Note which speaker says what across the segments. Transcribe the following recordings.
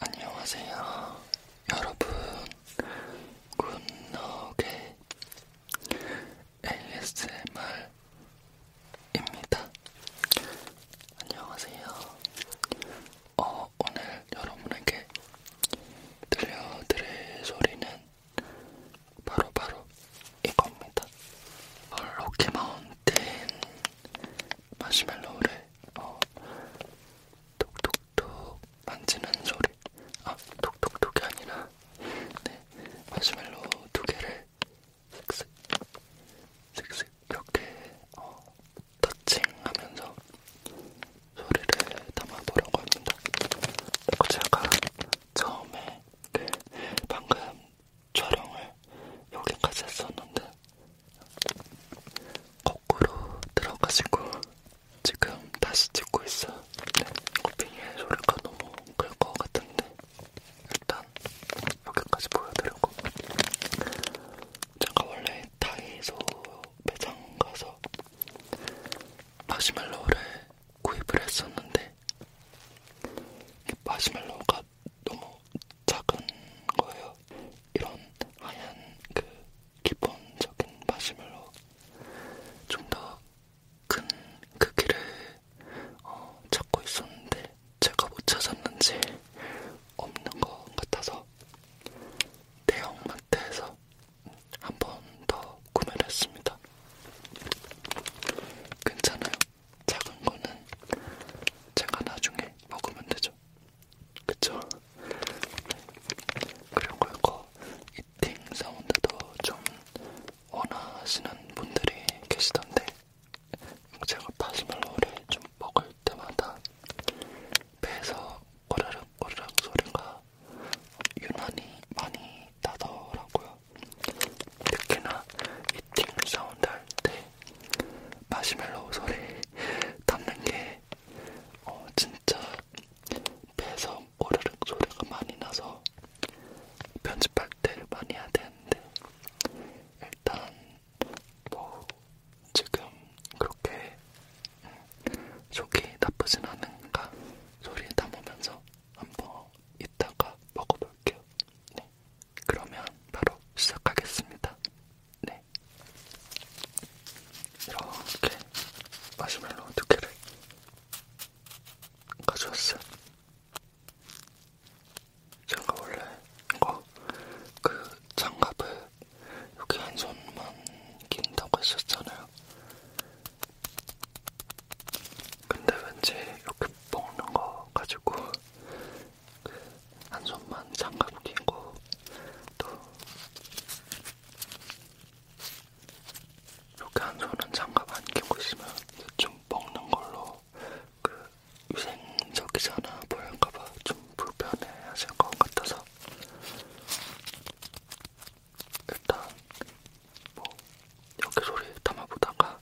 Speaker 1: 안녕하세요, 여러분. 굿노게 ASMR입니다. 안녕하세요. 어, 오늘 여러분에게 들려드릴 소리는 바로바로 바로 이겁니다. 헐로키 마운틴 마시멜로우를 어, 톡톡톡 만지는 소리 아 톡톡톡이 아니라 네 마시멜로 두 개를 슥슥 슥슥 이렇게 어, 터칭하면서 소리를 담아보려고 합니다. 그리고 제가 처음에 그 방금 촬영을 여기까지 했었는데 거꾸로 들어가지고 지금 다시 찍고 있어. 네. 코핑의 소리가 너무 클 것 같은데 일단 여기까지 보여드리고 제가 원래 다이소 매장 가서 마시멜로를 구입을 했었는데 마시멜로가 너무 작은 거예요. 이런 하얀 그 기본적인 마시멜로 좀 더 큰 크기를 그 어, 찾고 있었는데 제가 못 찾았는지 없는 것 같아서 대형마트에서 한 번 더 구매를 했습니다. 괜찮아요. 작은 거는 제가 나중에 먹으면 되죠. 거죠. 그쵸? 그리고 이거 이팅 사운드도 좀 원하시는 분들이 계시던데 제가 파스멜로우를 좀 먹을 때마다 배에서 꼬르륵 꼬르륵 소리가 유난히 많이 나더라고요. 특히나 이팅 사운드 할때 마시멜로우 소리 담는 게 근데 어, 진짜 배에서 오르륵 소리가 많이 나서 편집할 때 많이 해야 되는데 일단 뭐 지금 그렇게 속이 나쁘진 않은가 소리 담으면서 한번 이따가 먹어볼게요. 네. 그러면 바로 시작하겠습니다. 네. 이렇게 마시멜로 두 개를 가져왔어요. 제가 원래 이거 그 장갑을 여기 한 손만 낀다고 했었잖아요. 근데 왠지 이렇게 먹는 거 가지고 한 손만 장갑 끼고 또 이렇게 한 손은 장갑 안 끼고 있으면 좀 먹는 걸로 그 위생적이지 않아 보일까봐 좀 불편해 하실 것 같아서 일단 뭐 여기 소리 담아보다가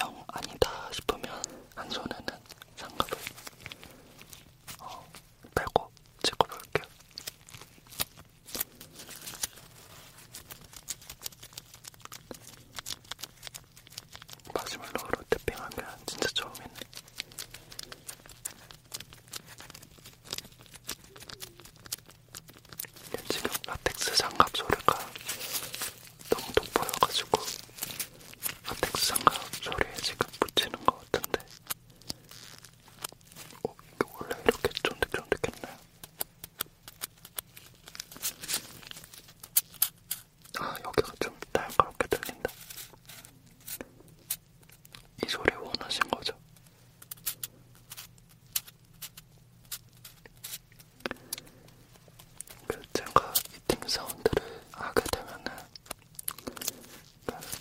Speaker 1: 영 아니다 싶으면 한 손에는 장갑을 어, 빼고 찍어볼게요. 마지막으로 태핑하면 진짜 처음이네. 지금 라텍스 장갑 소리가 너무 돋보여가지고 라텍스 장갑 소리에 지금 붙이는 것 같은데 어, 이게 원래 이렇게 쫀득쫀득했나요? 아, 여기가 좀 날카롭게 들린다. 이 소리 원하신 거죠? 그 제가 이팅 사운드를 하게 되면은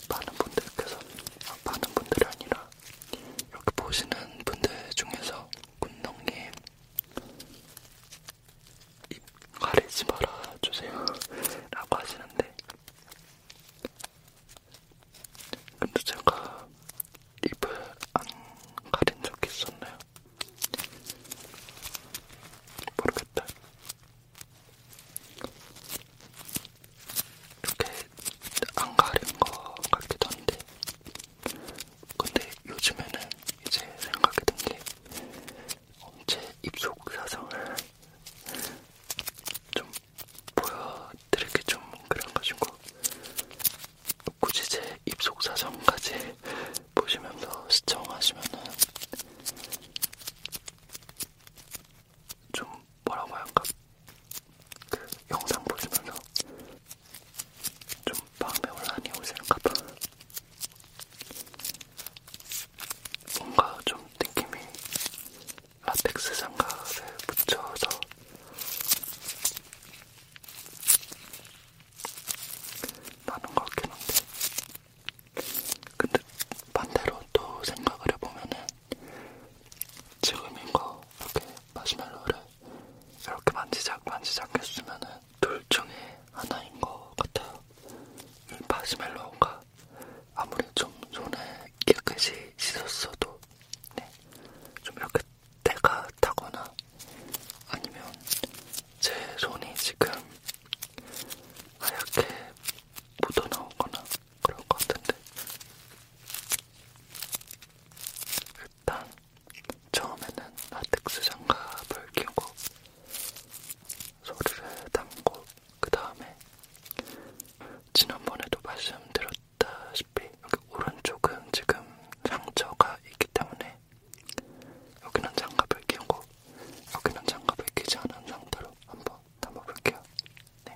Speaker 1: 많은 분들께서 아, 많은 분들이 아니라 이렇게 보시는 분들 중에서 군동님 입 가리지 말아 주세요 라고 하시는데 근데 제가 입을 안 가린 적이 있었나요? 모르겠다. 이렇게 안 가린 거 같기도 한데 근데 요즘에는 이제 생각이 든게 제 입속 사정을 좀 보여드리기 좀 그런가지고 굳이 제 입속 사정까지 보시면서 시청하시면은 좀 뭐라고 할까? 그 영상 보시면서 좀 마음에 혼란이 오시는가 봐. 뭔가 좀 느낌이 라텍스 장갑을 붙여서 나는 것 같긴 한데 근데 반대로 또 생각을 해보면은 지금인 거 이렇게 마시멜로를 이렇게 만지작 만지작 했으면은 둘 중에 하나인 것 같아요. 이 마시멜로가 아무리 좀 손에 깨끗이 씻었어도 네, 좀 이렇게 때가 타거나 아니면 제 손이 지금 하얗게 묻어나오거나 그럴 것 같은데 일단 처음에는 라텍스 장갑을 끼고 소리를 담고 그 다음에 지난번에도 말씀드렸다시피 여기 오른쪽은 지금 상처가 있기 때문에 여기는 장갑을 끼고 여기는 장갑을 끼지 않은 상태로 한번 담아볼게요. 네.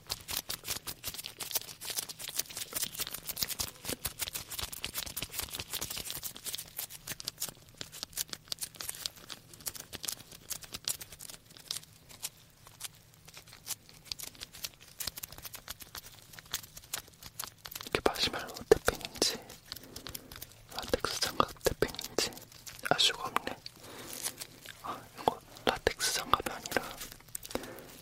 Speaker 1: 이게 마시멜로 태핑인지 라텍스 장갑 태핑인지 알 수가 없네. 아, 이거 라텍스 장갑이 아니라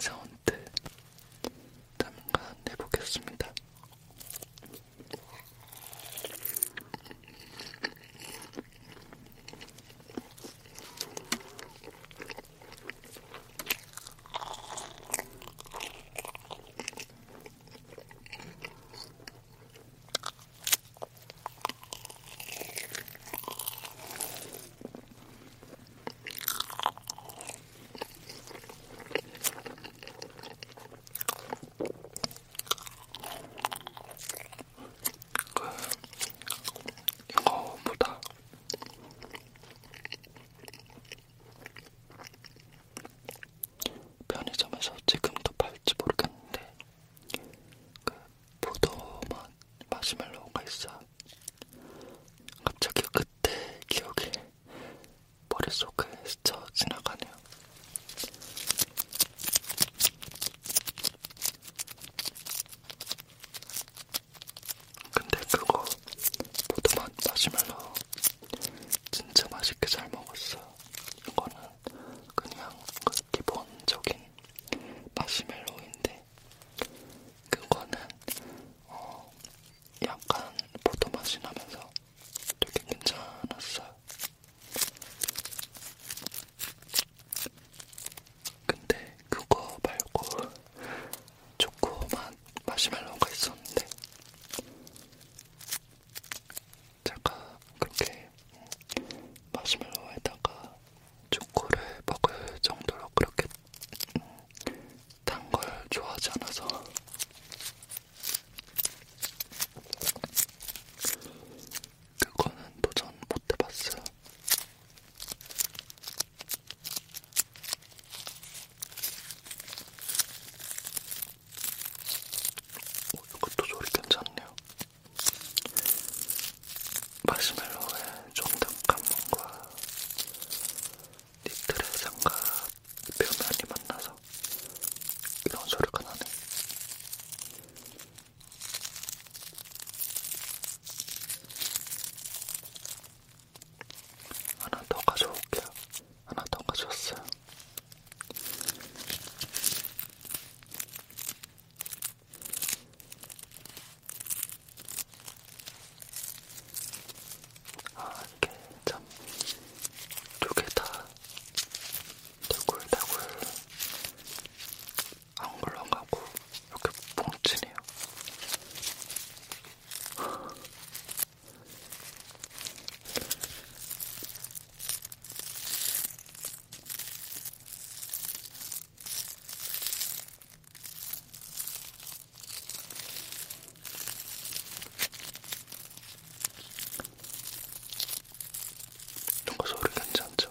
Speaker 1: 핑사운드 잠깐 해보겠습니다. 그 이거보다 편의점에서 지금도 팔지 모르겠는데 그 포도 맛 마시멜로우가 있어. 갑자기 그때 기억이 머릿속에 스쳐 지나가네요. 근데 그거 포도맛 마시멜로 진짜 맛있게 잘 먹었어요. 이거는 그냥 그 기본적인 마시멜로인데 그거는 어 약간 포도 맛이 나면서 되게 괜찮았어요. 근데 그거 말고 초코맛 마시멜로가 있었는데 제가 그렇게 마시멜로에다가 초코를 먹을 정도로 그렇게 음, 단걸 좋아하지 않아서 그거는 도전 못 해봤어요. 오, 이것도 소리 괜찮네요. 마시멜로의 쫀득한 몸과 니트의 생각 배우면이 만나서 이런 소리가 나네. 하나 더 가져올게요. 하나 더 가져왔어요. 아, 이게 참두 개다 다굴다굴 안 굴러가고 이렇게 뭉치네요. 이거 소리 괜찮죠?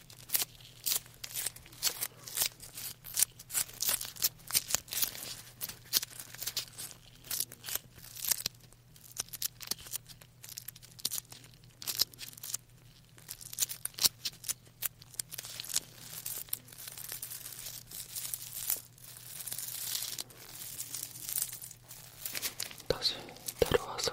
Speaker 1: 다시 데려와서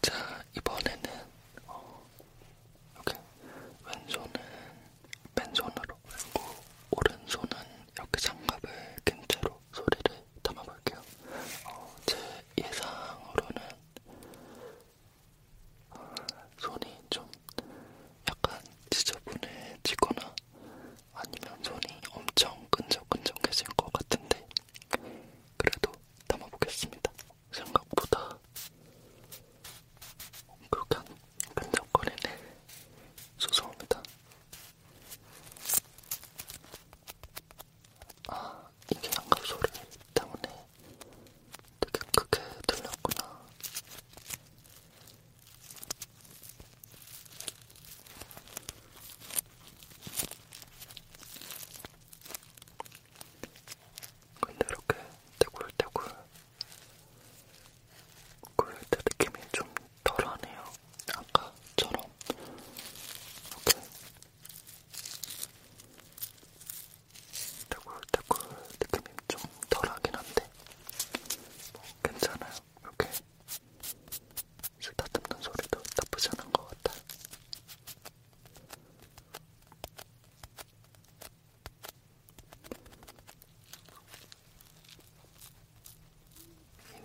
Speaker 1: 자, 이번에는 어, 이렇게 왼손은 왼손으로 그리고 오른손은 이렇게 장갑을 낀 채로 소리를 담아볼게요. 어, 제 예상으로는 어, 손이 좀 약간 지저분해지거나 아니면 손이 엄청 끈적끈적해진 것 같은데 그래도 담아보겠습니다. 생각보다 그렇게 안 끈적거리네. 죄송합니다. 아, 이게 양갑 소리 때문에 되게 크게 들렸구나. 근데 이렇게 떼굴떼굴 굴릴 때 느낌이 좀 덜하네요. 아까처럼. 이렇게 떼굴떼굴 느낌이 좀 덜하긴 한데 뭐 괜찮아요. 이렇게 쓰다듬는 소리도 나쁘지 않은 것 같아요.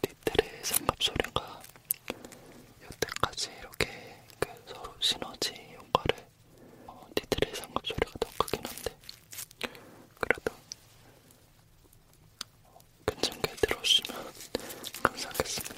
Speaker 1: 니트의 삼갑소리가 여태까지 이렇게 그 서로 시너지 효과를 어, 니트의 삼갑소리가 더 크긴 한데 그래도 어, 괜찮게 들어주시면 감사하겠습니다.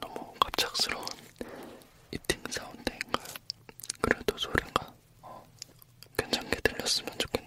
Speaker 1: 너무 갑작스러운 이팅 사운드인가요? 그래도 소리가 어, 괜찮게 들렸으면 좋겠네요.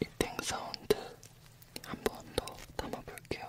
Speaker 1: 이팅 사운드 한번 더 담아볼게요.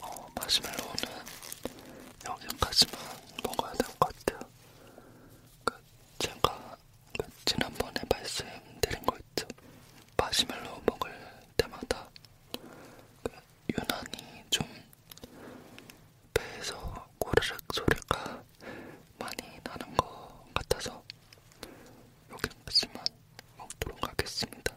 Speaker 1: 어, 마시멜로우는 여기까지만 먹어야 될 것 같아요. 그 제가 그 지난번에 말씀드린 거 있죠. 마시멜로우 먹을 때마다 그 유난히 좀 배에서 꼬르륵 소리가 많이 나는 것 같아서 여기까지만 먹도록 하겠습니다.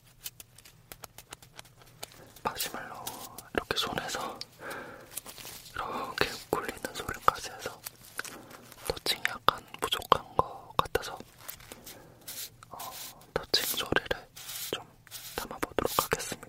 Speaker 1: 마시멜로 이렇게 손에서 이렇게 굴리는 소리까지 해서 터칭이 약간 부족한 것 같아서 어, 터칭 소리를 좀 담아보도록 하겠습니다.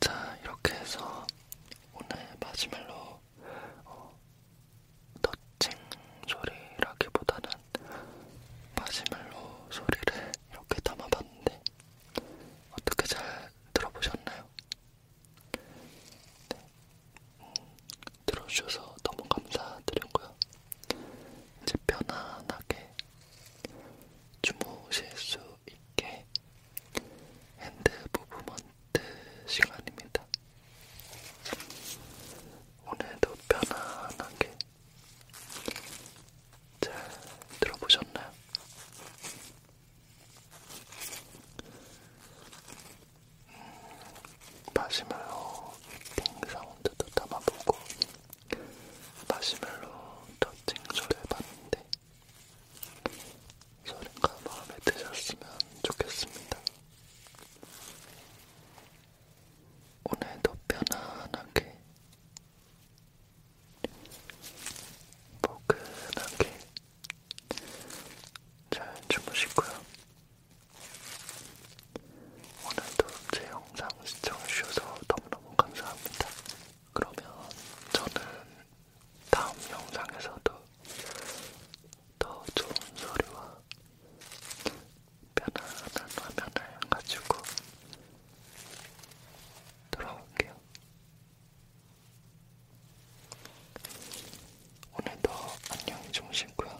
Speaker 1: 자, 이렇게 해서 오늘 마지막으로 어, 터칭 소리라기보다는 마시멜로 소리를 이렇게 담아봤는데 어떻게 잘 들어보셨나요? 네. 음, 들어주셔서 너무 감사드리고요. 이제 편안하게 주무실 수 있게 핸드 무브먼트 시간입니다. 오늘도 편안하게 잘 들어보셨나요? 음, 마시멜로 띵 사운드도 담아보고 마시멜로 터칭 조해봤는데 소린가 마음에 드셨으면 좋겠습니다. 오늘도 편안하게 포근하게 잘 주무시고요. 오늘도 제 영상 시청해주셔서 너무너무 감사합니다. 그러면 저는 다음 영상에서도 더 좋은 소리와 편안한 화면을 가지고 돌아올게요. 오늘도 안녕히 주무시고요.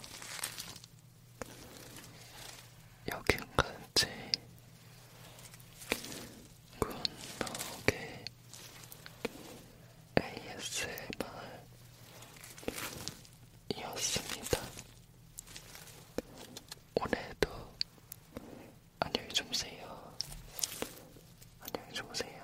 Speaker 1: 여기까지 굿노게 그 ASMR이었습니다. 오늘도 안녕히 주무세요. 안녕히 주무세요.